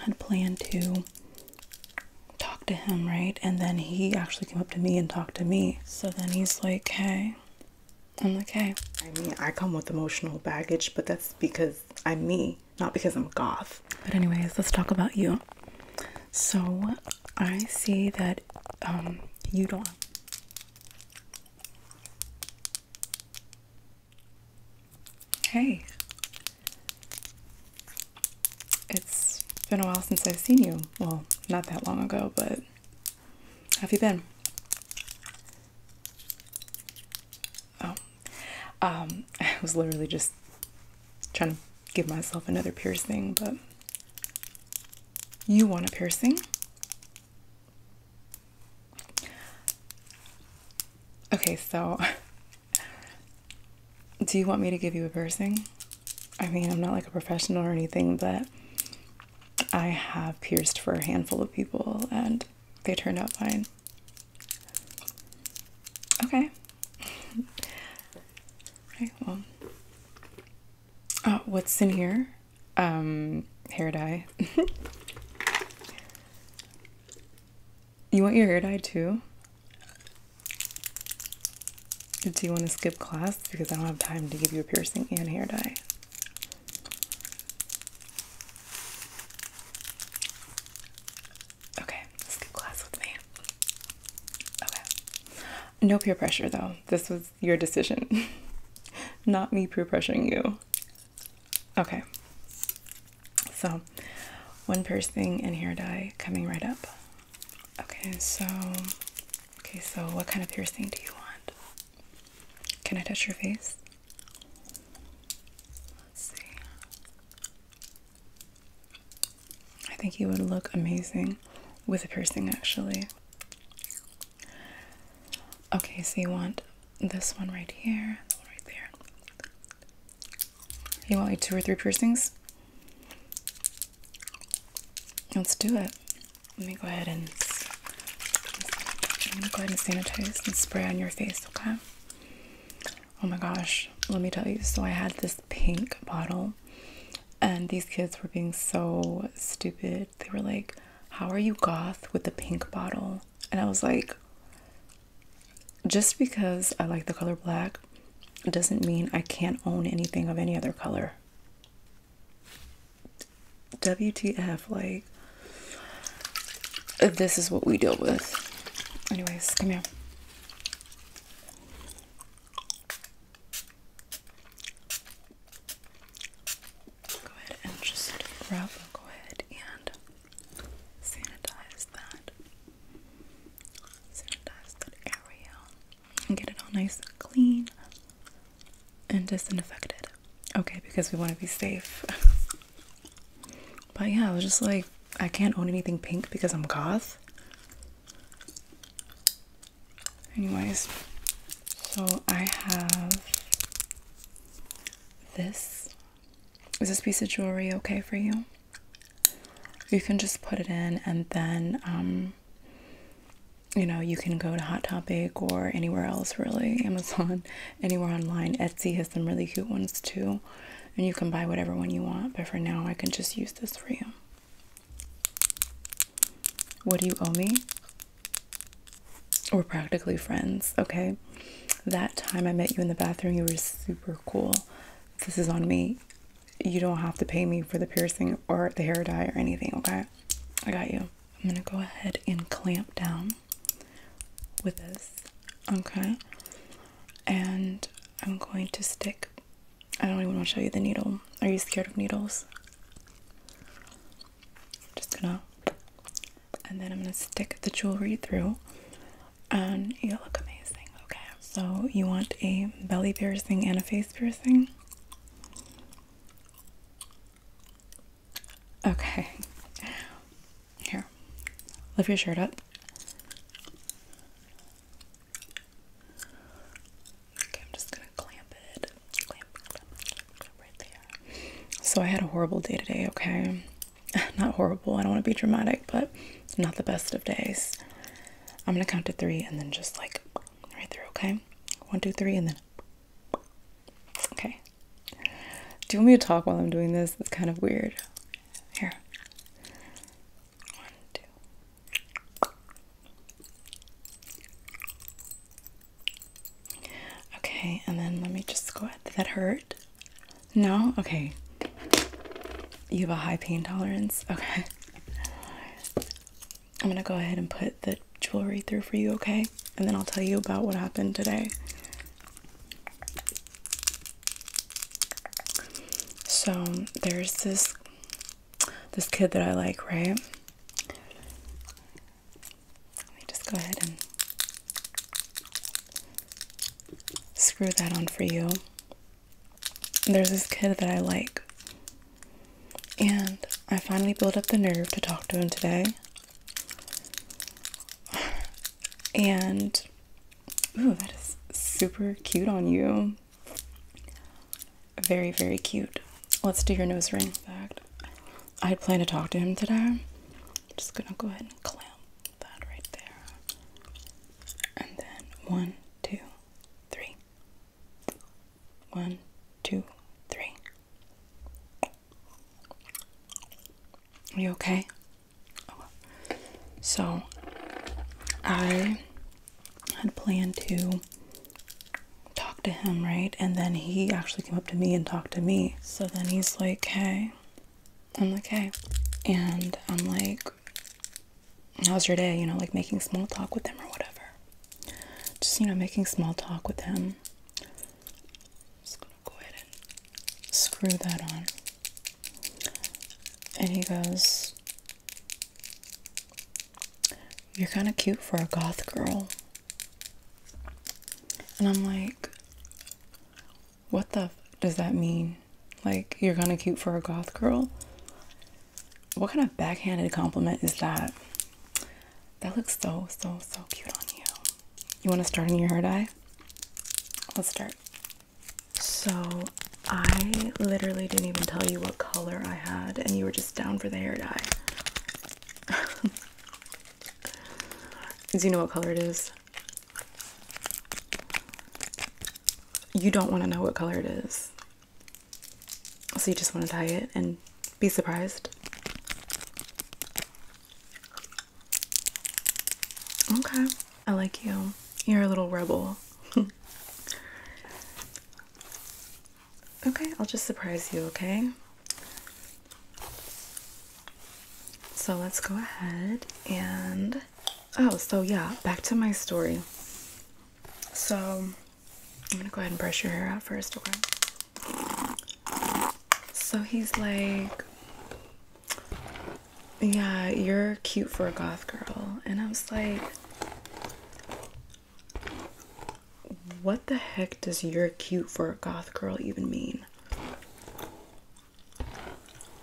had planned to talk to him, right? And then he actually came up to me and talked to me. So then he's like, hey. I'm like, hey. I mean, I come with emotional baggage, but that's because I'm me, not because I'm goth. But, anyways, let's talk about you. So, I see that um, you don't. Hey. It's been a while since I've seen you. Well, not that long ago, but have you been? Oh. Um, I was literally just trying to give myself another piercing, but you want a piercing? Okay, so do you want me to give you a piercing? I mean, I'm not like a professional or anything, but I have pierced for a handful of people and they turned out fine. Okay. okay, well. Uh, what's in here? Um, hair dye. You want your hair dyed too? Do you want to skip class? Because I don't have time to give you a piercing and hair dye. Okay, skip class with me. No peer pressure though. This was your decision. Not me peer pressuring you. Okay, so one piercing and hair dye coming right up. Okay, so okay, so what kind of piercing do you want? Can I touch your face? Let's see. I think you would look amazing with a piercing actually. Okay, so you want this one right here, right there, you want like two or three piercings? Let's do it. Let me go ahead and I'm gonna go ahead and sanitize and spray on your face, okay? Oh my gosh, let me tell you. So I had this pink bottle and these kids were being so stupid. They were like, How are you goth with the pink bottle? And I was like, just because I like the color black doesn't mean I can't own anything of any other color. WTF, like, this is what we deal with. Anyways, come here. Go ahead and just grab, go ahead and sanitize that sanitize that area and get it all nice and clean and disinfected. Okay, because we want to be safe. but yeah, I was just like, I can't own anything pink because I'm goth. Anyways, so I have this is this piece of jewelry okay for you? You can just put it in and then, um, you know, you can go to Hot Topic or anywhere else, really, Amazon, anywhere online. Etsy has some really cute ones too. And you can buy whatever one you want, but for now, I can just use this for you. What do you owe me? We're practically friends, okay? that time I met you in the bathroom, you were super cool. This is on me. You don't have to pay me for the piercing or the hair dye or anything, okay? I got you. I'm gonna go ahead and clamp down with this, okay? And I'm going to stick. I don't even want to show you the needle. Are you scared of needles? just gonna and then I'm gonna stick the jewelry through and you look amazing okay so you want a belly piercing and a face piercing okay here lift your shirt up okay I'm just gonna clamp it clamp, clamp, clamp, right there so I had a horrible day today okay not horrible. I don't want to be dramatic, but not the best of days. I'm gonna count to three and then just like right through, okay? One, two, three, and then okay. Do you want me to talk while I'm doing this? It's kind of weird. Here. One, two. Okay, and then let me just go ahead. Did that hurt? No? Okay. You have a high pain tolerance? Okay. I'm gonna go ahead and put the jewelry through for you, okay? And then I'll tell you about what happened today. So there's this this kid that I like, right? Let me just go ahead and screw that on for you. There's this kid that I like, and I finally built up the nerve to talk to him today. And ooh, that is super cute on you. Very, very cute. Let's do your nose ring. Back. I had planned to talk to him today. I'm just gonna go ahead and clamp that right there. And then one, two, three. One, two, three. Are you okay? So I had planned to talk to him, right? And then he actually came up to me and talked to me. So then he's like, hey, I'm like, hey. And I'm like, how's your day? You know, like making small talk with him or whatever. Just, you know, making small talk with him. Just gonna go ahead and screw that on. And he goes, You're kind of cute for a goth girl. And I'm like, what the does that mean? Like, you're kind of cute for a goth girl? What kind of backhanded compliment is that? That looks so, so, so cute on you. You want to start on your hair dye? Let's start. So, I literally didn't even tell you what color I had, and you were just down for the hair dye. Do you know what color it is? you don't want to know what color it is. So you just want to dye it and be surprised. Okay, I like you. You're a little rebel. okay, I'll just surprise you, okay? So let's go ahead and oh, so yeah, back to my story. So I'm gonna go ahead and brush your hair out first, okay? So he's like, Yeah, you're cute for a goth girl. And I was like, What the heck does you're cute for a goth girl even mean?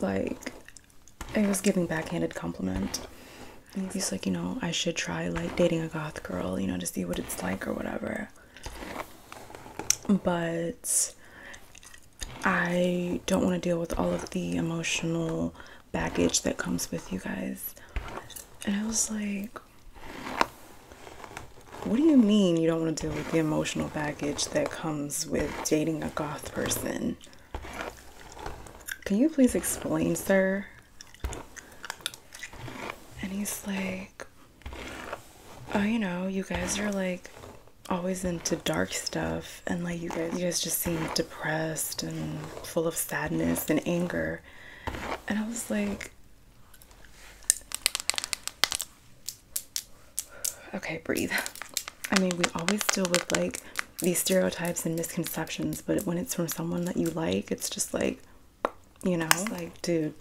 like it was giving backhanded compliment. And he's like, you know, I should try like dating a goth girl, you know, to see what it's like or whatever. But I don't want to deal with all of the emotional baggage that comes with you guys. And I was like, what do you mean you don't want to deal with the emotional baggage that comes with dating a goth person? Can you please explain, sir? And he's like, Oh, you know, you guys are like always into dark stuff and like you guys you guys just seem depressed and full of sadness and anger. And I was like Okay, breathe. I mean, we always deal with like these stereotypes and misconceptions, but when it's from someone that you like, it's just like, you know, like, dude,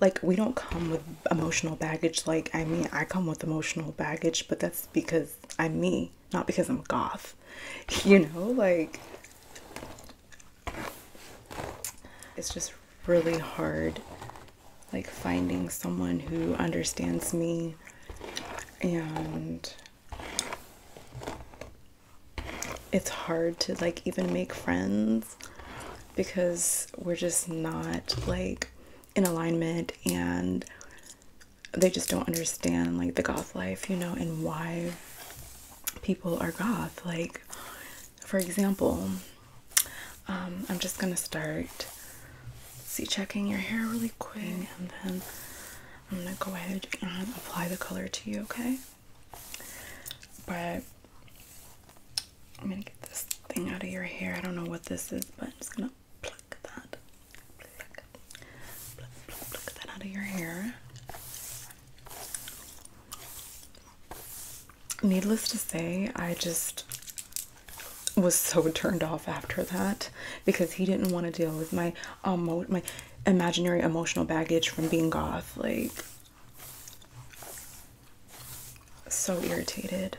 like, we don't come with emotional baggage. Like, I mean, I come with emotional baggage, but that's because I'm me, not because I'm goth. You know, like, it's just really hard like finding someone who understands me and it's hard to like even make friends because we're just not like in alignment and they just don't understand like the goth life, you know, and why people are goth. Like for example, um, I'm just gonna start see checking your hair really quick and then I'm gonna go ahead and apply the color to you, okay? But I'm gonna get this thing out of your hair. I don't know what this is, but I'm just gonna pluck that. pluck, pluck, pluck that out of your hair needless to say, I just was so turned off after that because he didn't want to deal with my emo my imaginary emotional baggage from being goth. Like, so irritated.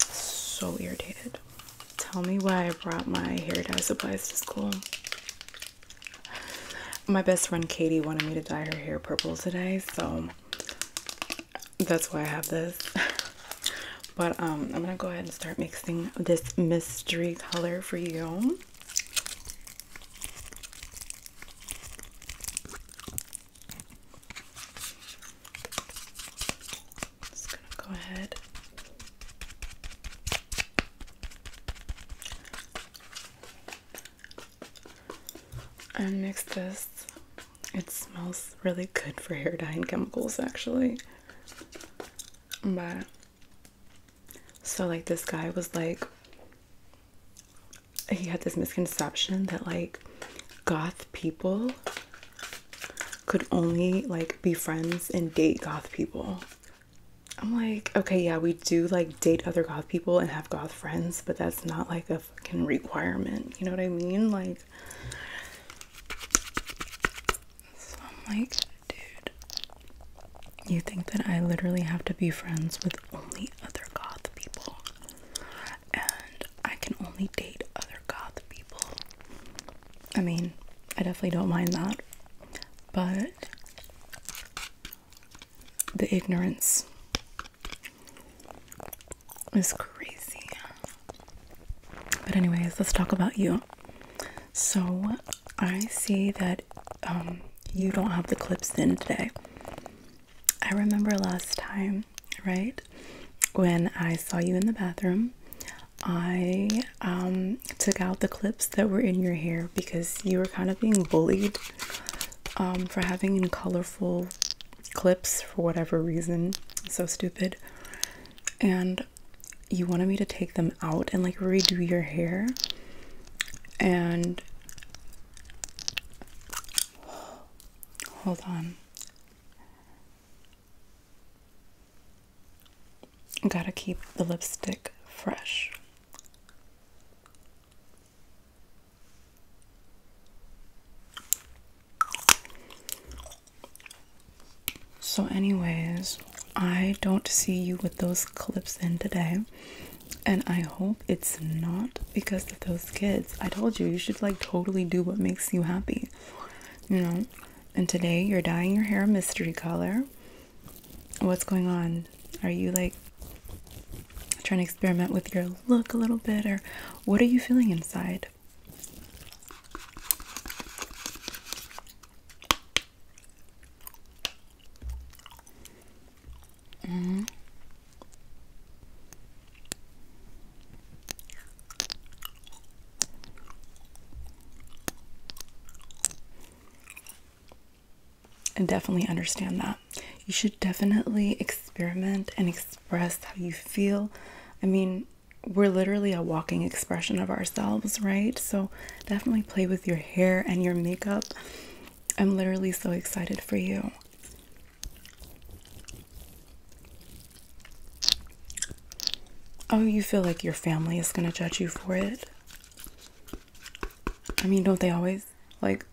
So irritated. Tell me why I brought my hair dye supplies to school. My best friend Katie wanted me to dye her hair purple today, so that's why I have this. but um, I'm gonna go ahead and start mixing this mystery color for you. Just gonna go ahead and mix this. It smells really good for hair dyeing chemicals, actually. But so, like, this guy was like, he had this misconception that like goth people could only like be friends and date goth people. I'm like, okay, yeah, we do like date other goth people and have goth friends, but that's not like a fucking requirement. You know what I mean? Like, so I'm like, dude, you think that I literally have to be friends with only other goth people, and I can only date other goth people. I mean, I definitely don't mind that, but the ignorance is crazy. But, anyways, let's talk about you. So, I see that um, you don't have the clips in today. I remember last time, right, when I saw you in the bathroom. I um, took out the clips that were in your hair because you were kind of being bullied um, for having colorful clips for whatever reason. So stupid. And you wanted me to take them out and like redo your hair. And hold on. Gotta keep the lipstick fresh. So, anyways, I don't see you with those clips in today, and I hope it's not because of those kids. I told you, you should like totally do what makes you happy, you know. And today, you're dyeing your hair a mystery color. What's going on? Are you like trying to experiment with your look a little bit, or what are you feeling inside? Mm-hmm. I definitely understand that. You should definitely experiment and express how you feel. I mean, we're literally a walking expression of ourselves, right? So definitely play with your hair and your makeup. I'm literally so excited for you. Oh, you feel like your family is going to judge you for it? I mean, don't they always? Like,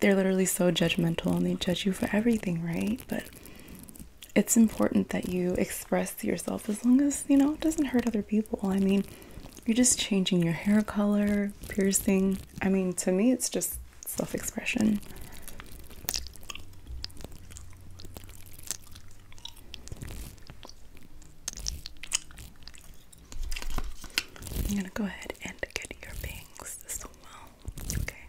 they're literally so judgmental and they judge you for everything, right? But it's important that you express yourself as long as, you know, it doesn't hurt other people. I mean, you're just changing your hair color, piercing. I mean, to me, it's just self expression. I'm gonna go ahead and get your bangs as well. Okay,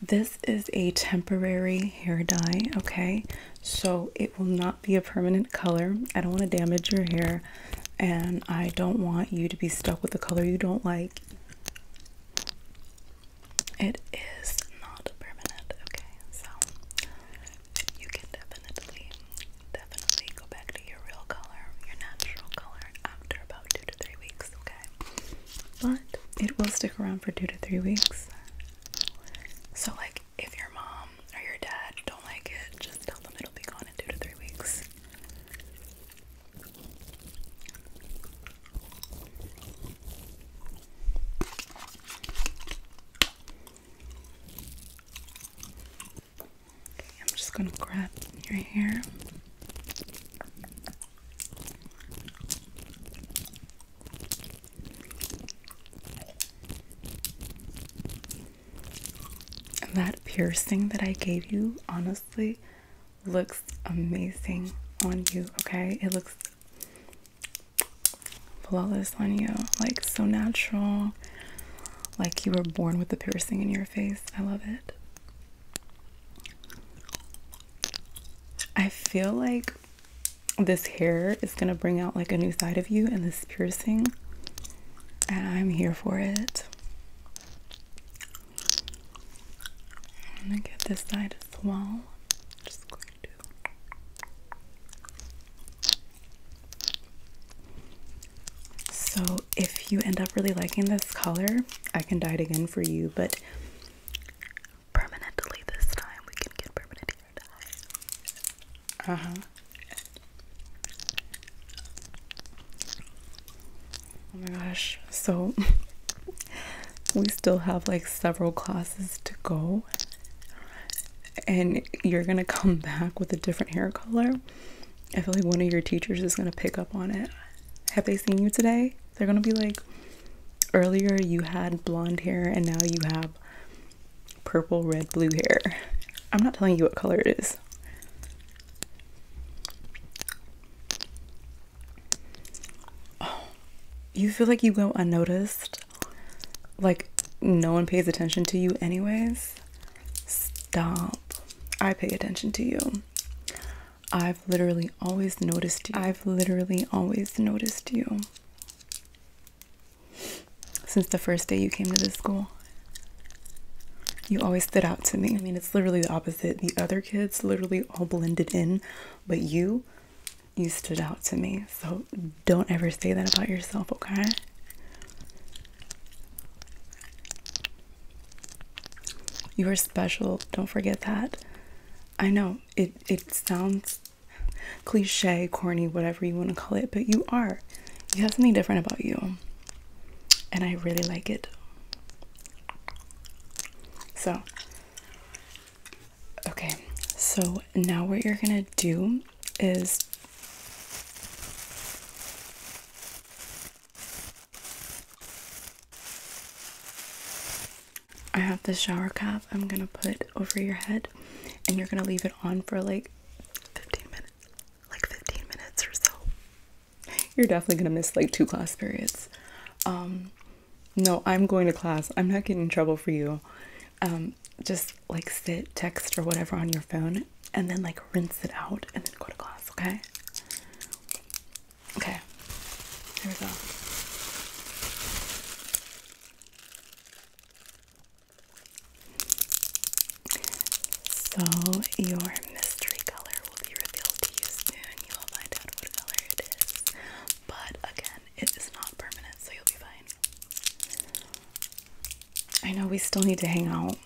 this is a temporary hair dye. Okay, so it will not be a permanent color. I don't want to damage your hair, and I don't want you to be stuck with a color you don't like. It is not permanent. Okay, so you can definitely definitely go back to your real color, your natural color, after about two to three weeks, okay? But it will stick around for two to three weeks. So, like, if your mom or your dad don't like it, just tell them it'll be gone in two to three weeks. I'm just gonna grab your hair. that piercing that I gave you honestly looks amazing on you, okay? It looks flawless on you, like so natural like you were born with a piercing in your face. I love it. I feel like this hair is gonna bring out like a new side of you and this piercing, and I'm here for it. I'm gonna get this side as well. just going to. So if you end up really liking this color, I can dye it again for you, but permanently this time. We can get permanent hair dye. Uh huh. Oh my gosh. So we still have like several classes to go, and you're gonna come back with a different hair color. I feel like one of your teachers is going to pick up on it. Have they seen you today? They're going to be like, earlier you had blonde hair and now you have purple, red, blue hair. I'm not telling you what color it is. you feel like you go unnoticed? Like no one pays attention to you, anyways? Stop. I pay attention to you. I've literally always noticed you. I've literally always noticed you. Since the first day you came to this school, you always stood out to me. I mean, it's literally the opposite. The other kids literally all blended in, but you, you stood out to me. So don't ever say that about yourself, okay? You are special. Don't forget that. I know it it sounds cliche, corny, whatever you want to call it, but you are. You have something different about you. And I really like it. So, okay. So now what you're going to do is I have this shower cap I'm gonna put over your head and you're gonna leave it on for like 15 minutes. Like 15 minutes or so. You're definitely gonna miss like two class periods. Um, no, I'm going to class. I'm not getting in trouble for you. Um, just like sit, text or whatever on your phone and then like rinse it out and then go to class, okay? Okay, here we go. So, your mystery color will be revealed to you soon. You will find out what color it is. But again, it is not permanent, so you'll be fine. I know we still need to hang out.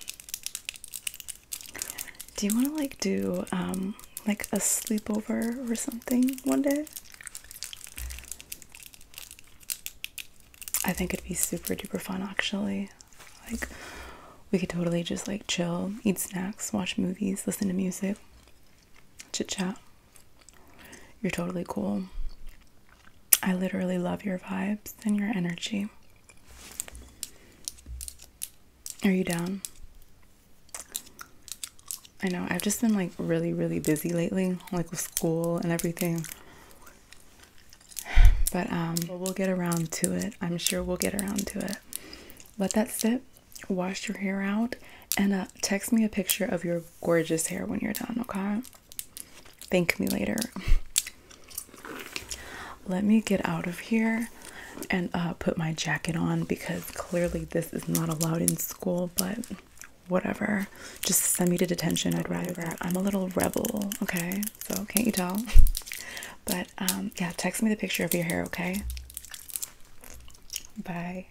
Do you want to like do um, like a sleepover or something one day? I think it'd be super duper fun actually. Like we could totally just like chill, eat snacks, watch movies, listen to music, chit chat. You're totally cool. I literally love your vibes and your energy. Are you down? I know, I've just been like really, really busy lately, like with school and everything. But um, we'll get around to it. I'm sure we'll get around to it. Let that sit, wash your hair out, and uh, text me a picture of your gorgeous hair when you're done, okay? Thank me later. Let me get out of here and uh, put my jacket on because clearly this is not allowed in school, but whatever. Just send me to detention. I'd rather. I'm a little rebel, okay? So, can't you tell? But um, yeah, text me the picture of your hair, okay? Bye.